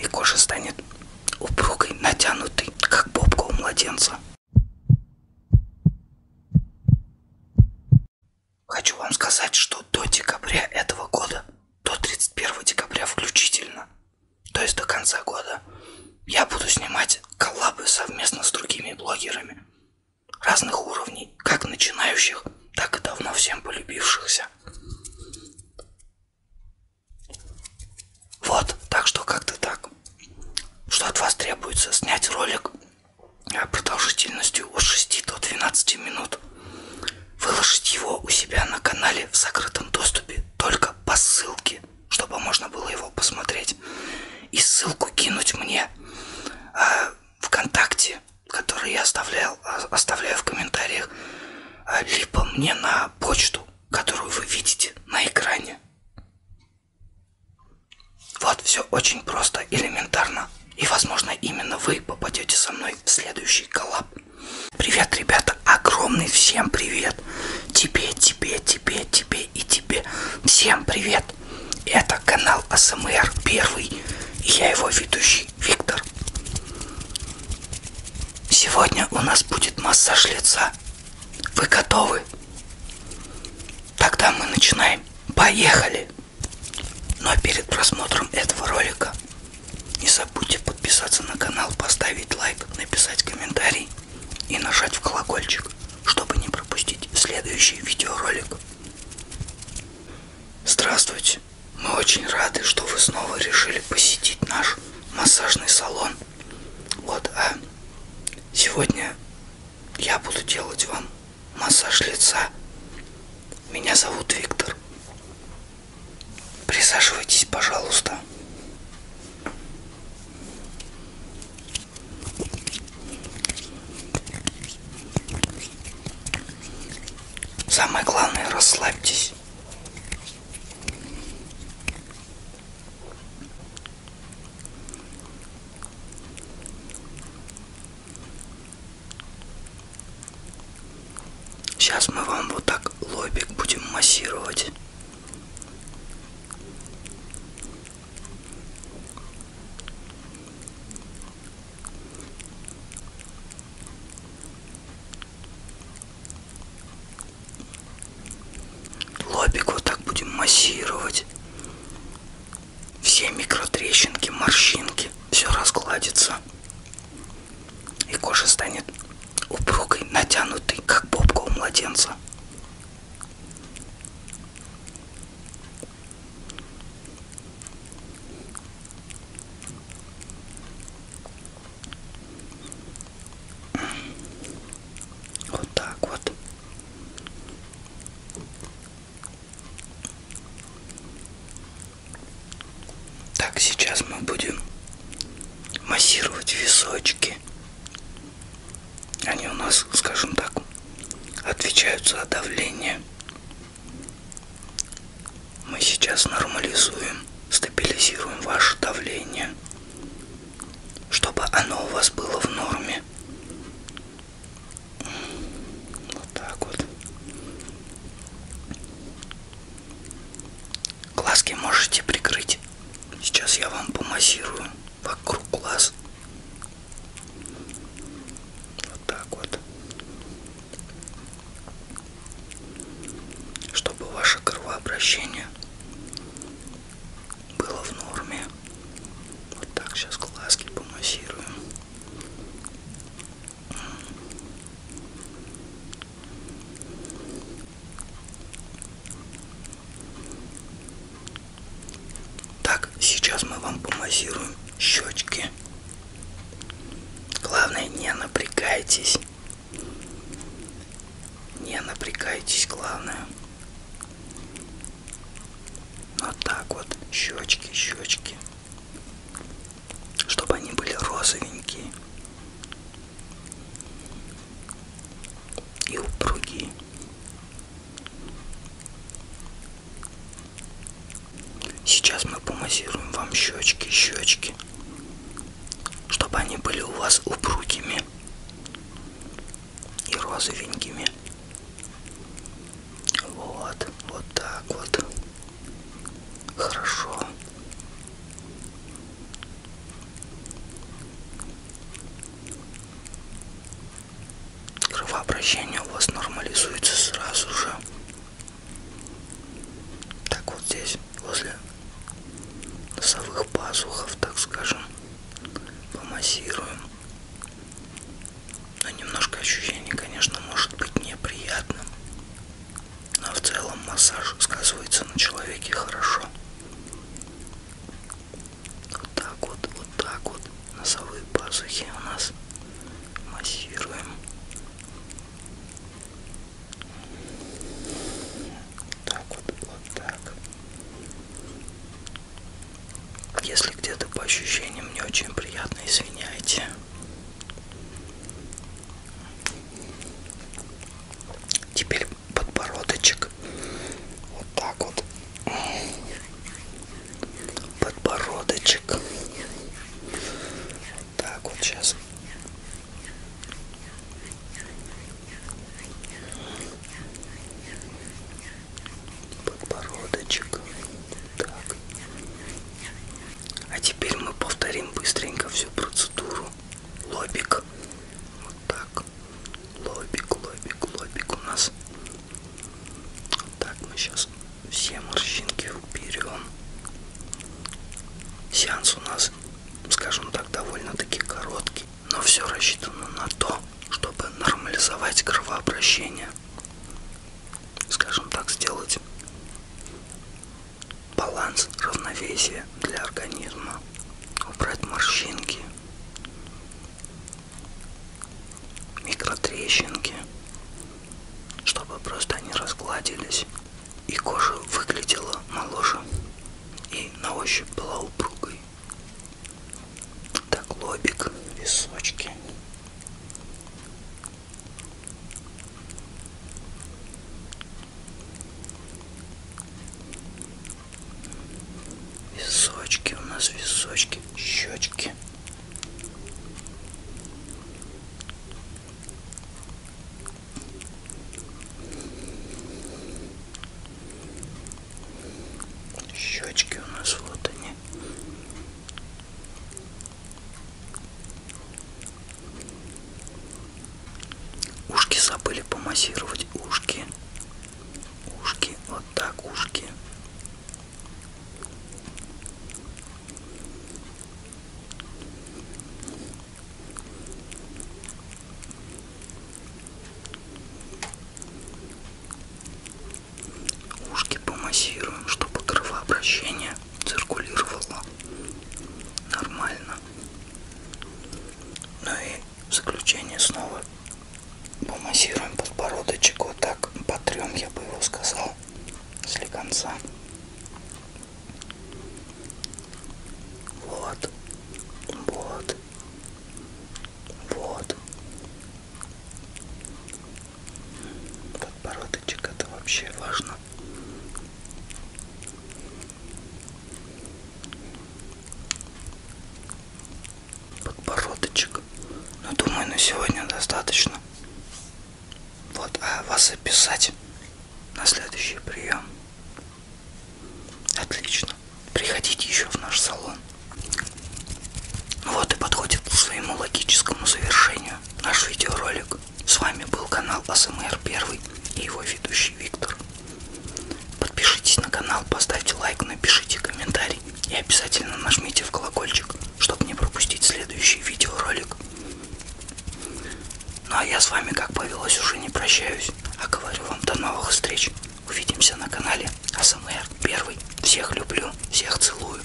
и кожа станет упругой, натянутой, как бобка у младенца. Хочу вам сказать, что до декабря этого года, до 31 декабря включительно, то есть до конца года, я буду снимать коллабы совместно с другими блогерами разных уровней, как начинающих, так и давно всем полюбившихся. Вот, так что как-то так. Что от вас требуется? Снять ролик продолжительностью от 6 до 12 минут. Выложить его у себя на канале в закрытом доступе только по ссылке, чтобы можно было его посмотреть. И ссылку кинуть мне э, ВКонтакте которые я оставлял, а, оставляю в комментариях, а, либо мне на почту, которую вы видите на экране. Вот все очень просто, элементарно. И, возможно, именно вы попадете со мной в следующий коллаб. Привет, ребята! Огромный всем привет! Тебе, тебе, тебе, тебе и тебе. Всем привет! Это канал АСМР первый. И я его ведущий Виктор. Сегодня у нас будет массаж лица. Вы готовы? Тогда мы начинаем. Поехали! Но перед просмотром этого ролика не забудьте подписаться на канал, поставить лайк, написать комментарий и нажать в колокольчик, чтобы не пропустить следующий видеоролик. Здравствуйте! вернулись. Мы очень рады, что вы снова решили посетить наш массажный салон. Вот, а сегодня я буду делать вам массаж лица. Меня зовут Виктор. Присаживайтесь, пожалуйста. Самое главное, расслабьтесь. Сейчас мы вам вот так лобик будем массировать. Лобик вот так будем массировать. Все микротрещинки, морщинки, все разгладится. И кожа станет упругой, натянутой, как попка у младенца. Вот так вот. Так, сейчас мы будем массировать височки. Они у нас, скажем так, отвечают за давление мы сейчас нормализуем, стабилизируем ваше давление, чтобы оно у вас было в норме. Вот так вот. Глазки можете прикрыть. Сейчас я вам помассирую вокруг глаз вот так вот чтобы ваше кровообращение было в норме вот так сейчас глазки помассируем так, сейчас мы вам помассируем щечки. Главное, не напрягайтесь. Не напрягайтесь, главное. Вот так вот, щечки, щечки. Чтобы они были розовенькие. И упругие. Сейчас мы помассируем вам щечки, щечки, чтобы они были у вас упругими и розовенькими. Вот, вот так вот. Хорошо кровообращение у вас нормализуется сразу же. Так вот здесь, возле носовых пазухов, так скажем, помассируем. Но немножко ощущение, конечно, может быть неприятным. Но в целом массаж сказывается на человеке хорошо. Вот так вот, вот так вот. Носовые пазухи у нас массируем. Вот так вот, вот так. Если где-то по ощущениям не очень приятно, извиняйте. Теперь подбородочек. Вот так вот подбородочек. Так вот сейчас. Подбородочек. Так. А теперь мы повторим быстренько всю процедуру. Лобик. Вот так лобик, лобик, лобик, лобик у нас. Так, мы сейчас все морщинки уберем. Сеанс у нас, скажем так, довольно-таки короткий, но все рассчитано на то, чтобы нормализовать кровообращение. Скажем так, сделать баланс, равновесие для организма, убрать морщинки, микротрещинки, чтобы просто они разгладились и кожа выглядела моложе и на ощупь была упругой. Так лобик, височки. Височки у нас, височки, щечки. Щечки у нас вот они. Ушки забыли помассировать ушки ушки, вот так ушки. Ушки помассируем, чтобы кровообращение циркулировало нормально. Ну и в заключение снова помассируем подбородочек. Вот так потрем, я бы его сказал, после конца. Вот, вот, вот. Подбородочек это вообще важно подбородочек. Ну, думаю, на сегодня достаточно. Вот, а вас описать на следующий прием. Отлично. Приходите еще в наш салон. Вот и подходит к своему логическому завершению наш видеоролик. С вами был канал АСМР 1 и его ведущий Виктор. Подпишитесь на канал, поставьте лайк, напишите комментарий и обязательно нажмите в колокольчик, чтобы не пропустить следующий видеоролик. Ну а я с вами, как повелось, уже не прощаюсь, а говорю вам до новых встреч. Увидимся на канале АСМР Первый. Всех люблю, всех целую.